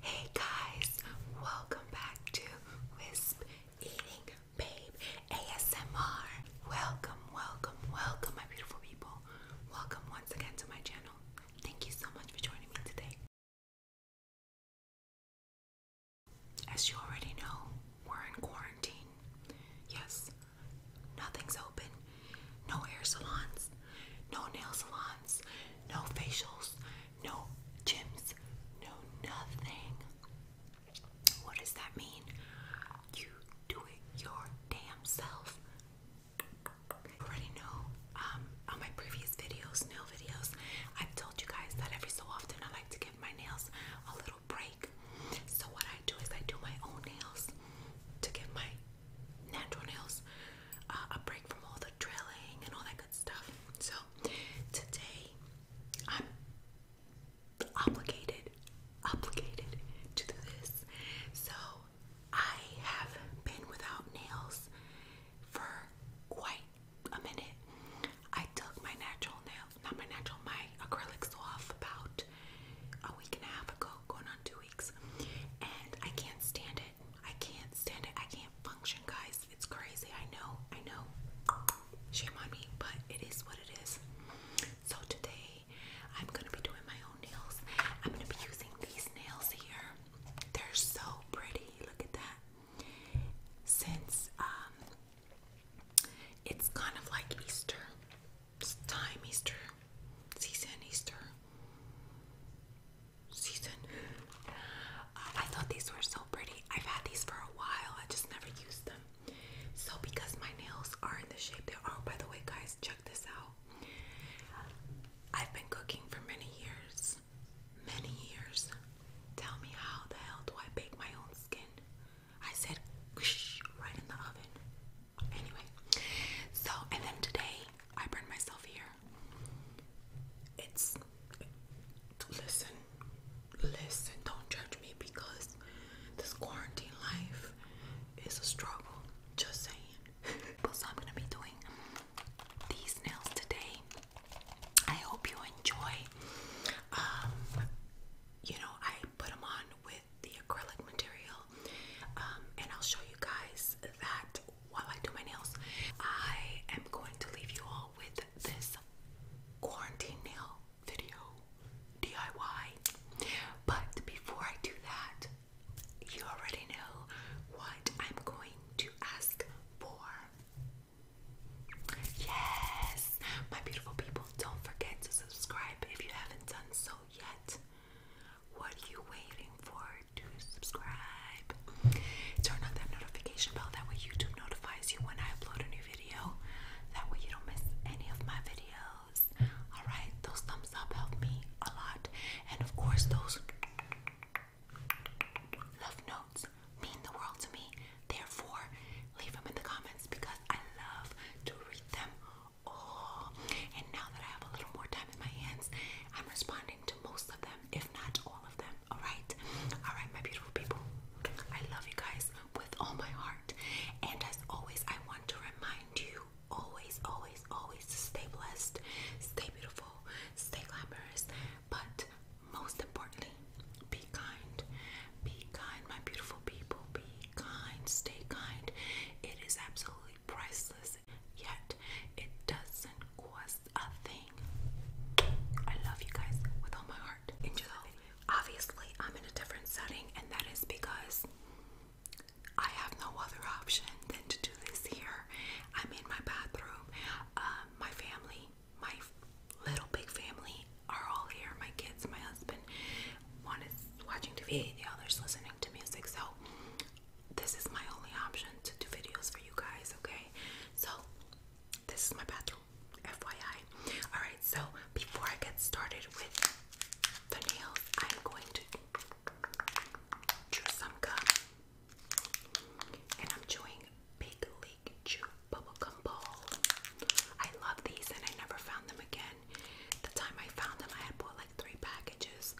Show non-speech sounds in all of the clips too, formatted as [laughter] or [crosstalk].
Hey guys, welcome back to Wisp Eating Babe ASMR. Welcome, welcome, welcome, my beautiful people. Welcome once again to my channel. Thank you so much for joining me today. As you already know, we're in quarantine. Yes, nothing's open, no hair salons, no nail salons, no facials, no gyms, no nothing. What does that mean? You do it your damn self. already know. Um, on my previous videos, nail videos, I've told you guys that every so often I like to give my nails a little break. So what I do is I do my own nails to give my natural nails uh, a break from all the drilling and all that stuff. So today I'm obligated, obligated to do this. So I have been without nails for quite a minute. I took my natural nails, not my natural, my acrylics off about a week and a half ago, going on two weeks, and I can't stand it. I can't stand it. I can't function, guys. It's crazy. I know. I know. Shame on me, but it is what it is. So today, I'm gonna be doing my own nails. I'm gonna be using these nails here. They're so pretty. Look at that. Since um, it's kind of like Easter it's time, Easter season, Easter season. I thought these were so pretty. I've had these for a while. I just never used them. So because my nails are in the shape they are, oh, by the way, guys, check this out. I've been cooking for many years. Many years. Tell me how the hell do I bake my own skin? I said right in the oven. Anyway, so and then today I burned myself here. It's listen, listen, don't judge me because this quarantine life is a struggle. Just saying. [laughs] so I'm gonna be doing these nails today. I hope you enjoy. Um, you know, I put them on with the acrylic material, um, and I'll show you guys that while I do my nails. I am going to leave you all with this quarantine nail video DIY. But before I do that, you already know what I'm going to ask for. Yes, my beautiful people, don't forget to subscribe if you haven't done so yet. What are you waiting for? to subscribe. Turn on that notification bell, that way YouTube notifies you when I upload a new video. That way you don't miss any of my videos. Alright, those thumbs up help me a lot. And of course, those love notes mean the world to me. Therefore, leave them in the comments because I love to read them all. And now that I have a little more time in my hands, I'm responding to most of them if not all of them. Alright? Alright, my beautiful people. I love you guys with all my heart. And as always, I want to remind you always, always, always stay blessed, stay beautiful, stay glamorous, but most importantly, be kind. Be kind, my beautiful people. Be kind, stay kind. It is absolutely priceless yet it doesn't cost a thing. I love you guys with all my heart. Enjoy. obviously, I'm in a different setting, and that is because I have no other option than to do this here. I'm in my bathroom. Um, my family, my little big family, are all here. My kids, my husband. One is watching TV, the other's listening to music. So this is my only option to do videos for you guys, okay? So, this is my bathroom, FYI. Alright, so before I get started with the nails, I'm going to chew some gum. And I'm chewing Big League Chew bubble gum Ball. I love these and I never found them again. The time I found them, I had bought like three packages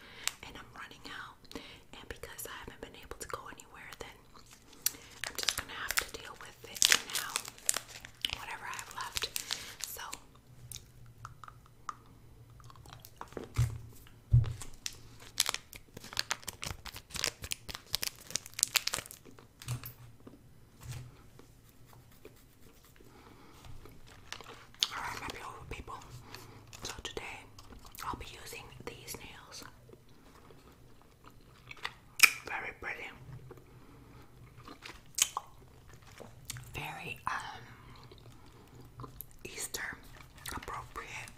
and I'm running out. And because I haven't been able to go anywhere, then I'm just gonna have to deal with it now. Whatever I have left. So all right, my beautiful people, so today I'll be using these nails. Very pretty. Very um Easter appropriate.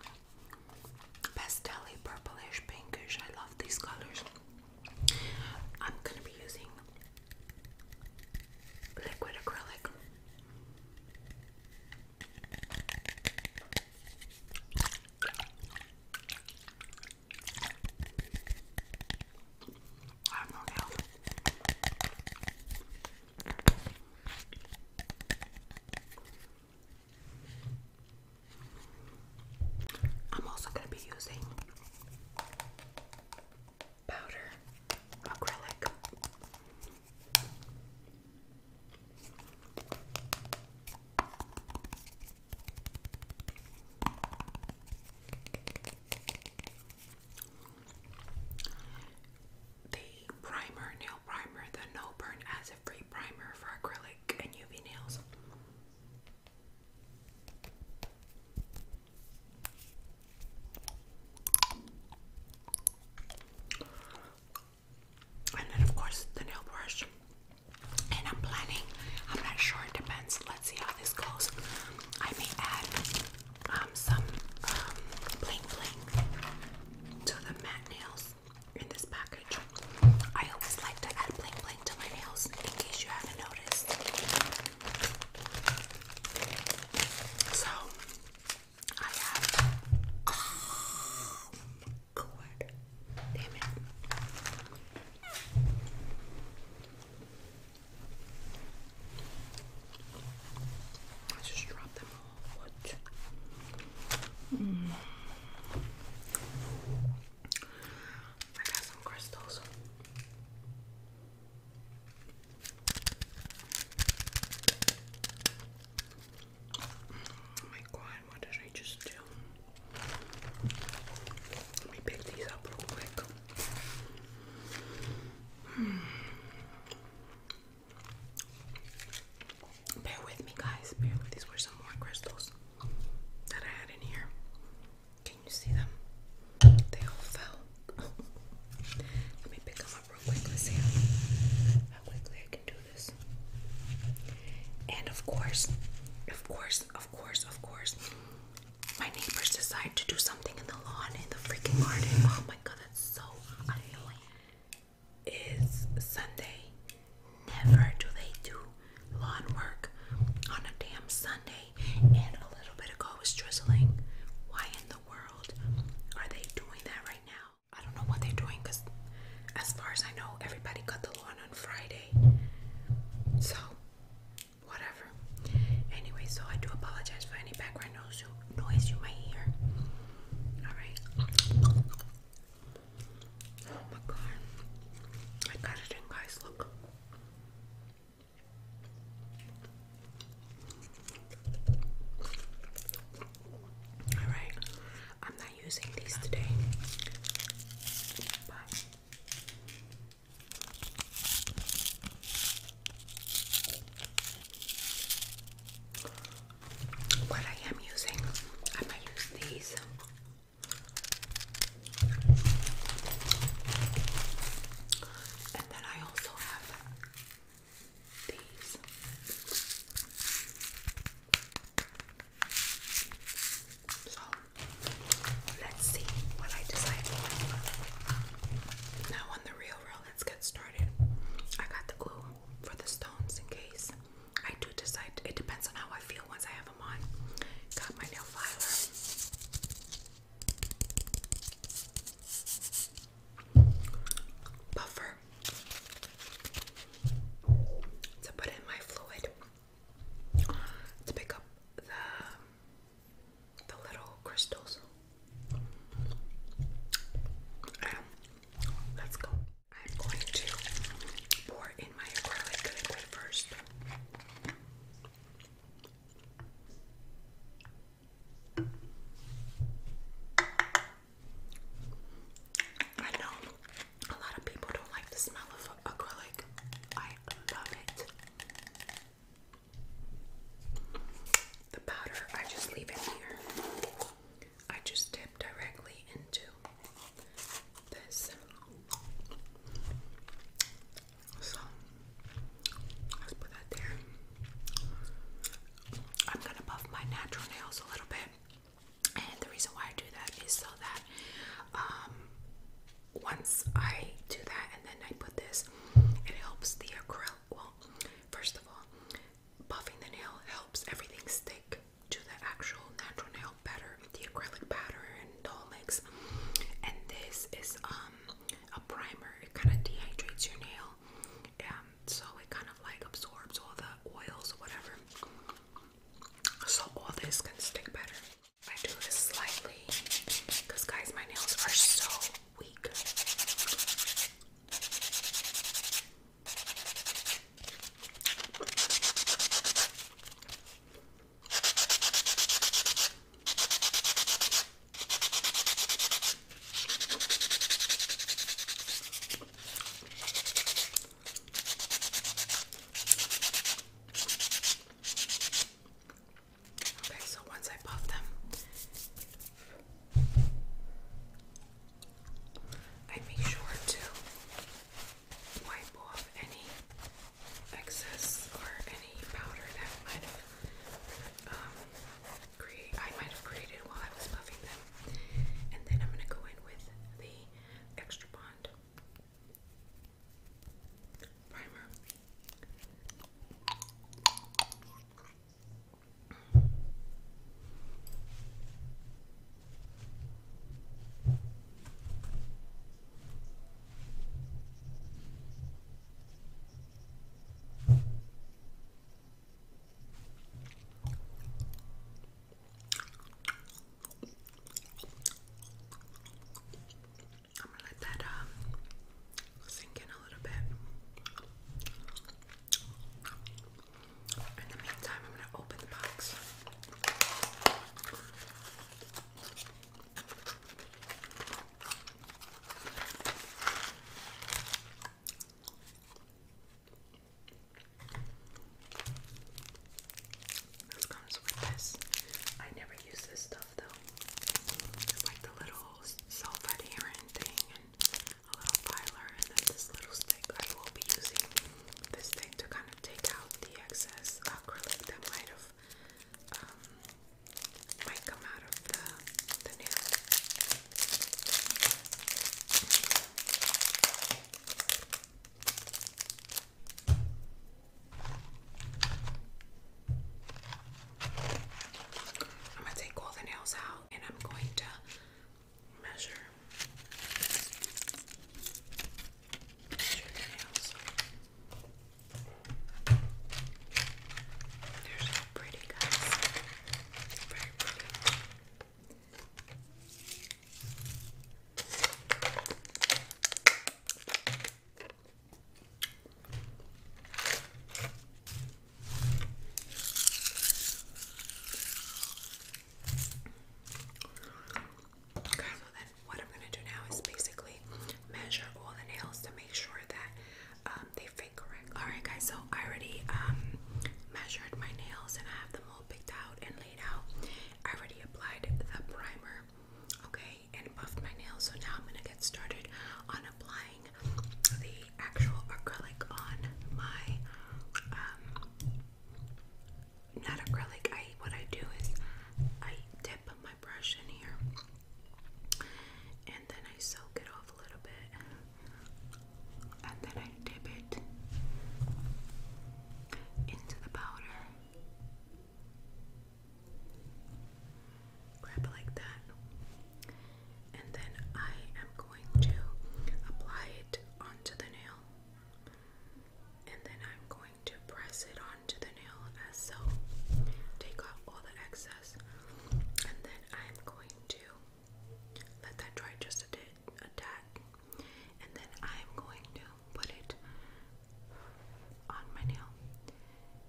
Pastelly, purplish, pinkish. I love these colors. I'm gonna be using liquid acrylic. I am also going to be using powder acrylic the primer, nail primer, the No Burn Acid Free Primer for acrylic and UV nails and then of course the nail brush. And I'm planning, I'm not sure, it depends. Let's see how this goes. I may add um, some um, bling bling to the matte nails in this package. I always like to add bling bling to my nails in case you haven't noticed. So, I have. Oh my god. Damn it. I just dropped them What? Mm. I got some crystals. Oh my god, what did I just do? Let me pick these up real quick. Hmm. Bear with me, guys. these were some more crystals that I had in here. Can you see them? They all fell. [laughs] Let me pick them real quick. see how, quickly I can do this. And of course, of course, of course, of course, my neighbors decide to do something in the lawn in the freaking garden. Oh my god, that's so annoying. It's Sunday. Never do they do lawn work on a damn Sunday. And a little bit ago it was drizzling. Why in the world are they doing that right now? I don't know what they're doing because, as far as I know, everybody cut the lawn on Friday. So, whatever. Anyway, so I do apologize for any background noise noise you might hear. Alright. Oh my god. I got it in, guys. Look. Alright, I'm not using these today, but what I am using, I might use these. And then I also have so let's see what I decide Now on the real roll, let's get started. I got the glue for the stones in case I do decide. It depends on how I feel once I have them on. Got my nail filer buffer to put in my fluid to pick up the the little crystals. Um, let's go. I'm going to pour in my acrylic liquid first. I know a lot of people don't like the smell of acrylic. I love it. The powder, I just leave it here. I just dip directly into this. So let's put that there. I'm gonna buff my natural nails a little bit. And the reason why I do that is so that um, once I do that and then I put this, it helps the acrylic. Well, first of all, buffing the nail helps everything stick to the actual natural nail better, the acrylic powder and the mix. And this is um, a primer, it kind of dehydrates your nail oil, so it kind of like absorbs all the oils whatever, so all this can stick better. I do this slightly because, guys, my nails are so weak. Okay, so once I puff them, I make sure to wipe off any excess or any powder that might have um, I might have created while I was puffing them. And then I'm going to go in with the Extra Bond primer. I'm gonna let that um, sink in a little bit. In the meantime, I'm gonna open the box. This comes with this. I never use this stuff though. It's like the little self-adherent thing and a little filer and this little stick. I will be using this thing to kind of take out the excess acrylic that might have um, might come out of the, the nail. I'm going to take all the nails out and I'm going to measure, measure the nails. They're so pretty, guys. Very pretty. Okay, so then what I'm gonna do now is basically measure all the nails to make sure that um, they fit correct. All right, guys. So I already um, measured my nails and I have them all picked out and laid out. I already applied the primer, okay, and buffed my nails. So now I'm gonna get started on applying the actual acrylic on my um not acrylic. I what I do is I dip my brush in here and then I soak it off a little bit and then I dip it into the powder. Grab it like that, and then I am going to apply it onto the nail, and then I'm going to press it onto the nail as so. Take off all the excess, and then I'm going to let that dry just a bit attack, and then I'm going to put it on my nail,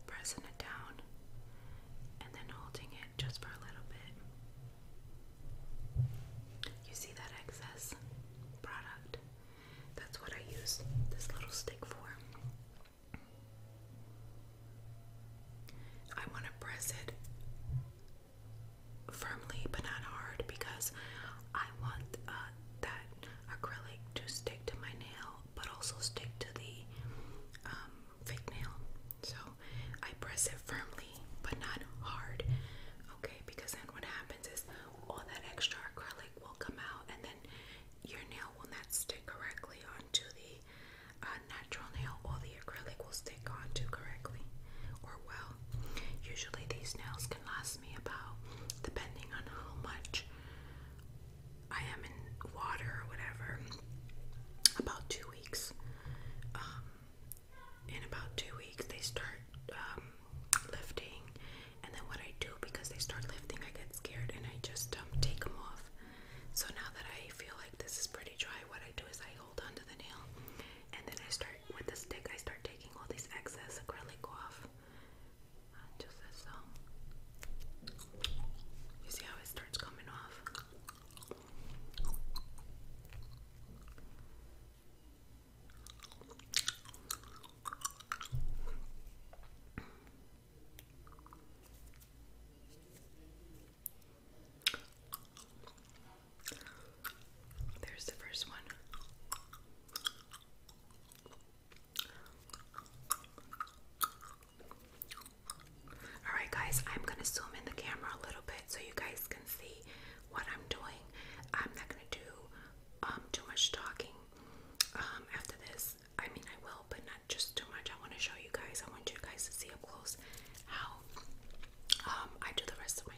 pressing it down, and then holding it just for a little bit. You see that excess product? That's what I use this little stick for. I want to press it firmly but not hard because I want uh, that acrylic to stick to my nail but also stick to the um, fake nail. So I press it firmly but not hard, okay? Because then what happens is all that extra acrylic will come out and then your nail will not stick correctly onto the uh, natural nail or the the acrylic will stick onto correctly or well. Usually these nails can last me about, depending on how much I am in water or whatever, about two weeks. Um, in about two weeks they start um, lifting and then what I do because they start lifting I get scared and I just um, take them off. So now that I feel like this is pretty dry what I do is I hold onto the nail, and then I start with the stick. I start taking all these excess acrylic off, uh, just so. Um, you see how it starts coming off. There's the first one. Alright, guys, I'm gonna zoom in the camera a little bit so you guys can see what I'm doing. I'm not gonna do um, too much talking um, after this. I mean, I will, but not just too much. I want to show you guys, I want you guys to see up close how um, I do the rest of mine.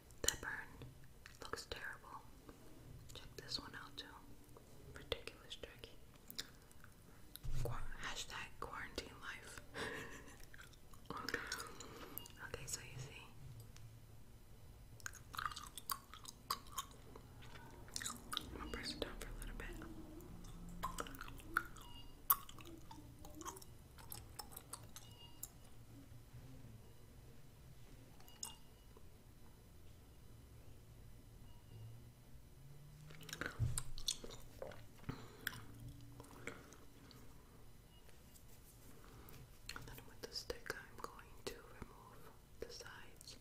That burn looks terrible. Check this one out too. Ridiculous tricky. hashtag quarantine life. [laughs] okay, so you see. I'm going it down for a little bit. And then with the stick, I'm going to remove the sides.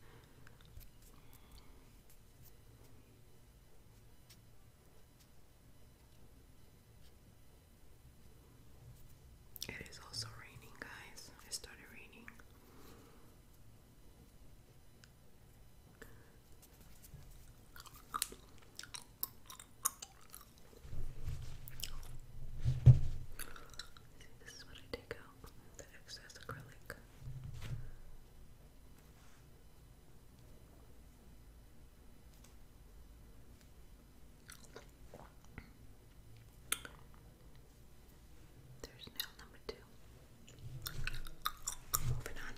It is also raining, guys. It started raining. this is what I take out the excess acrylic. There's nail number two. Moving on.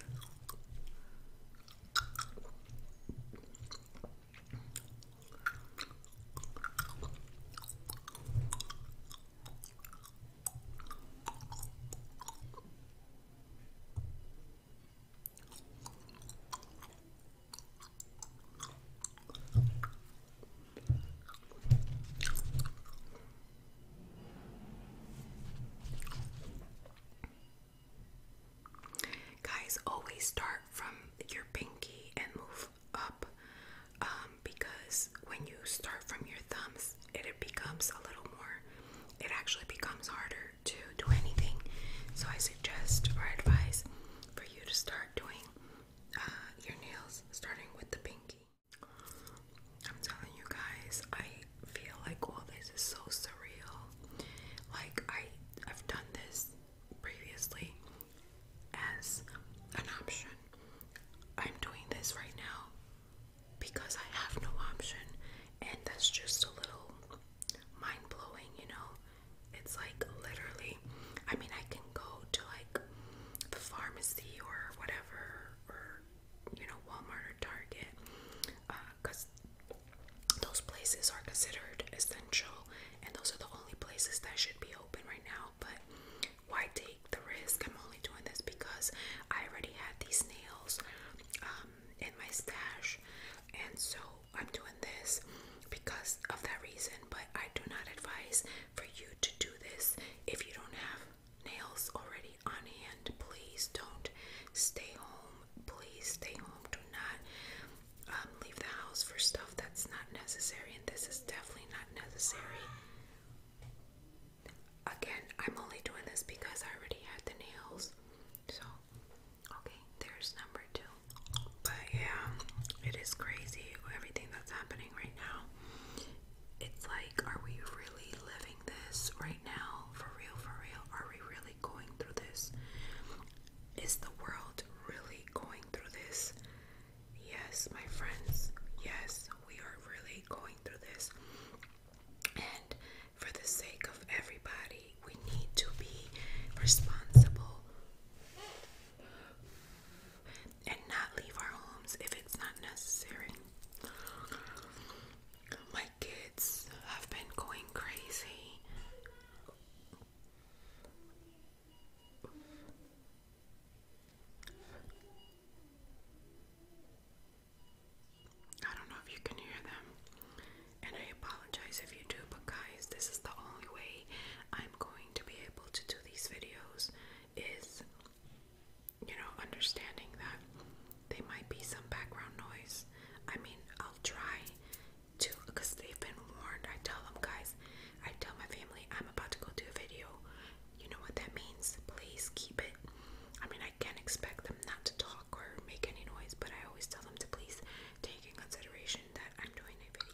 Guys, always start from your pinky and move up um, because when you start from your thumbs, it, becomes a little more, it actually becomes harder to do anything. So I suggest or advise for you to start doing uh, your nails, starting with the pinky. I'm telling you guys, I feel like all this is so surreal. Like I, I've done this previously as an option. I'm doing this right now because I have no option, and that's just a little mind blowing, you know. It's like literally, I mean, I can go to like the pharmacy or whatever, or you know, Walmart or Target, because uh, those places are considered essential, and those are the only places that should be open right now. But why take the risk? I'm only doing this because I already had these nails um, in my stash, and so I'm doing this because of that reason, but I do not advise for you to do this if you don't have nails already on hand. Please don't stay home. Please stay home. Do not um, leave the house for stuff that's not necessary, and this is definitely not necessary. Again, I'm only doing this because I already had the nails. So, Okay, there's number two. But yeah, it is crazy everything that's happening right now. It's like, are we really living this right now? For real, for real? Are we really going through this? Is the world really going through this? Yes, my friends. Yes, we are really going through this. And for the sake of everybody, we need to be responsible and not leave our homes if it's not necessary. My kids have been going crazy. I don't know if you can hear them, and I apologize if you do, but guys, this is the only way going to be able to do these videos is, you know, understanding that there might be some background noise. I mean, I'll try to, because they've been warned. I tell them, guys, I tell my family, I'm about to go do a video. You know what that means? Please keep it. I mean, I can't expect them not to talk or make any noise, but I always tell them to please take in consideration that I'm doing a video.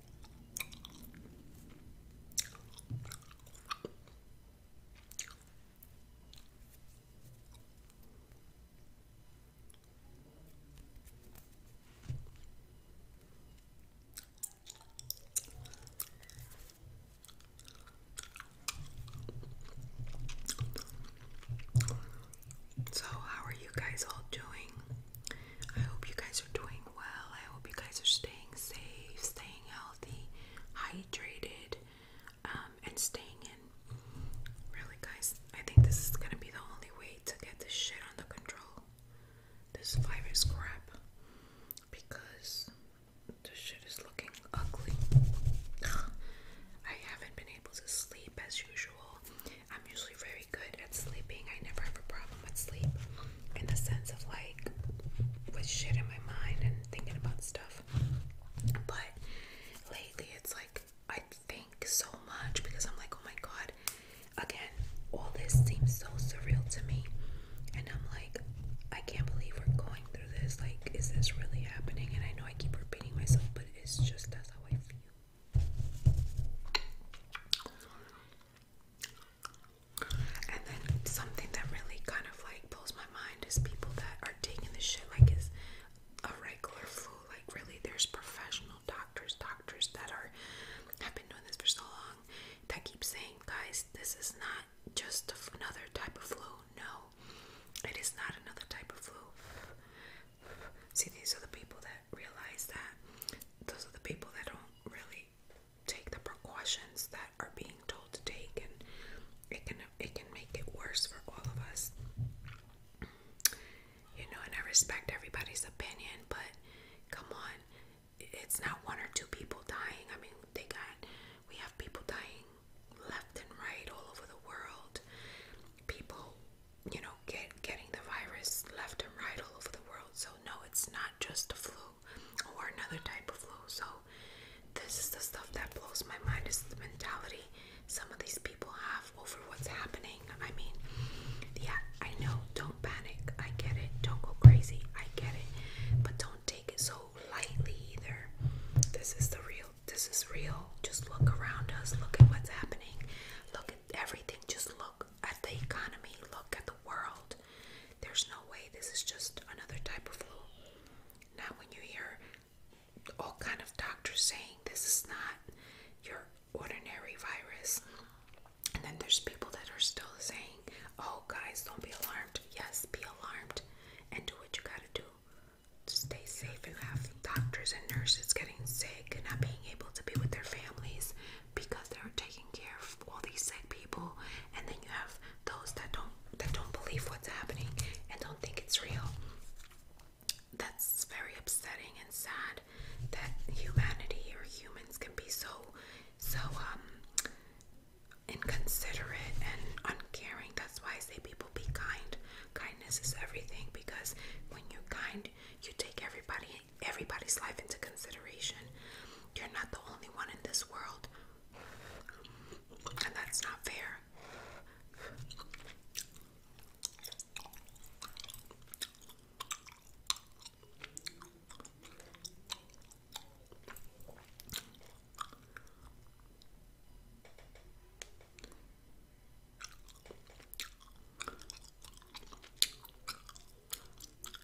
So, how are you guys all doing? I hope you guys are doing well. I hope you guys are staying safe, staying healthy, hydrated, um, and staying in. Really, guys, I think this is gonna be the only way to get this shit under control. This virus crap. Because this shit is looking ugly. [sighs] I haven't been able to sleep as usual. I'm usually very good at sleeping. I never have a problem with sleep in the sense of like with shit in my mind and thinking about stuff. But lately it's like I think so much because I'm like, oh my god, again, all this seems so surreal to me. And I'm like, I can't believe we're going through this. Like, is this really happening? And I know I keep repeating myself, but it's just that's how I feel. And then something that really kind of like blows my mind is people that are taking this shit like it's a regular flu. Like really, there's professional doctors, doctors that are have been doing this for so long that keep saying, guys, this is not just another type of flu. No, it is not another type of flu. See, these are the people that realize that those are the people that don't really take the precautions that are being told to take, and it can it can make it worse for all of us. You know, and I respect everybody's opinion, but come on, it's not one or two people dying. I mean, they got we have people dying left and right all over the world. People, you know, get getting the virus left and right all over the world. So no, it's not just a flu or another type of flu. So, this is the stuff that blows my mind is the mentality some of these people have over what's happening. I mean, yeah, I know, don't panic. I get it. Don't go crazy. I get it. But don't take it so lightly either. This is the real. This is real. Just look around us. Look at what's happening. Look at everything. Just look at the economy, look at the world. There's no way this is just another type of flu. Now, when you hear all kind of doctors saying this is not your ordinary virus, and then there's people that are still saying, "Oh, guys, don't be alarmed." Yes, be alarmed, and do what you gotta do. Stay safe and have doctors and nurses getting sick and not being able to be with their families because they're taking care of all these sick people and then you have those that don't that don't believe what's happening and don't think it's real. That's very upsetting and sad that humanity or humans can be so so um inconsiderate and uncaring. That's why I say people be kind. Kindness is everything because when you're kind, you take everybody everybody's life into consideration. You're not the only one in this world, and that's not fair.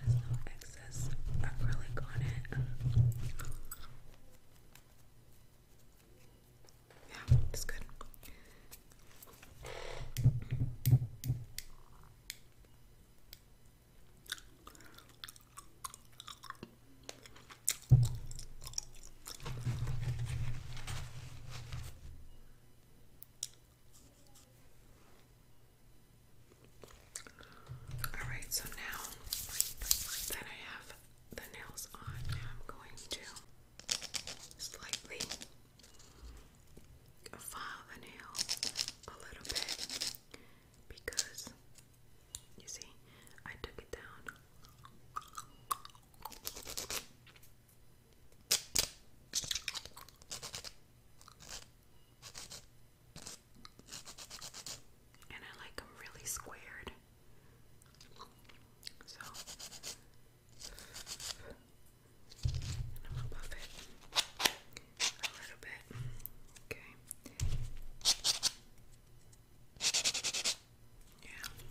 There's no excess acrylic it. Yeah, it's good. All right, so now that I have the nails on, I'm going to slightly file the nail a little bit because you see, I took it down. And I like them really squared. So and i a little bit. Okay. Yeah. Okay.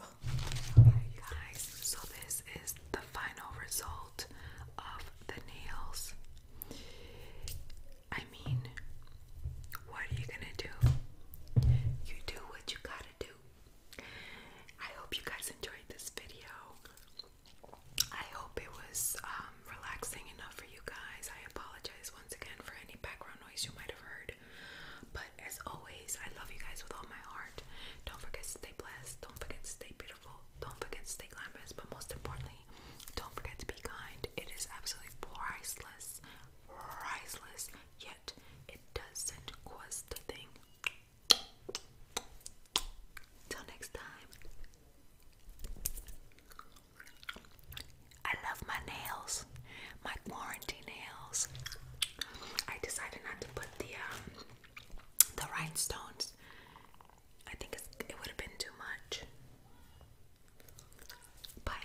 Oh. guys, so this is the final result of the nails. I mean, what are you gonna do? You do what you gotta do. I hope you guys enjoyed this video. I hope it was um, relaxing enough for you guys. I apologize once again for any background noise you might have heard. But as always, I love you guys with all my heart. Don't forget to stay blessed. Don't forget to stay beautiful. Don't forget to stay glamorous. But most importantly, don't forget to be kind. It is absolutely priceless, priceless. Yet it doesn't cost a thing. Till next time. I love my nails, my quarantine nails. I decided not to put the um, the rhinestones. I think it would have been too much. Bye.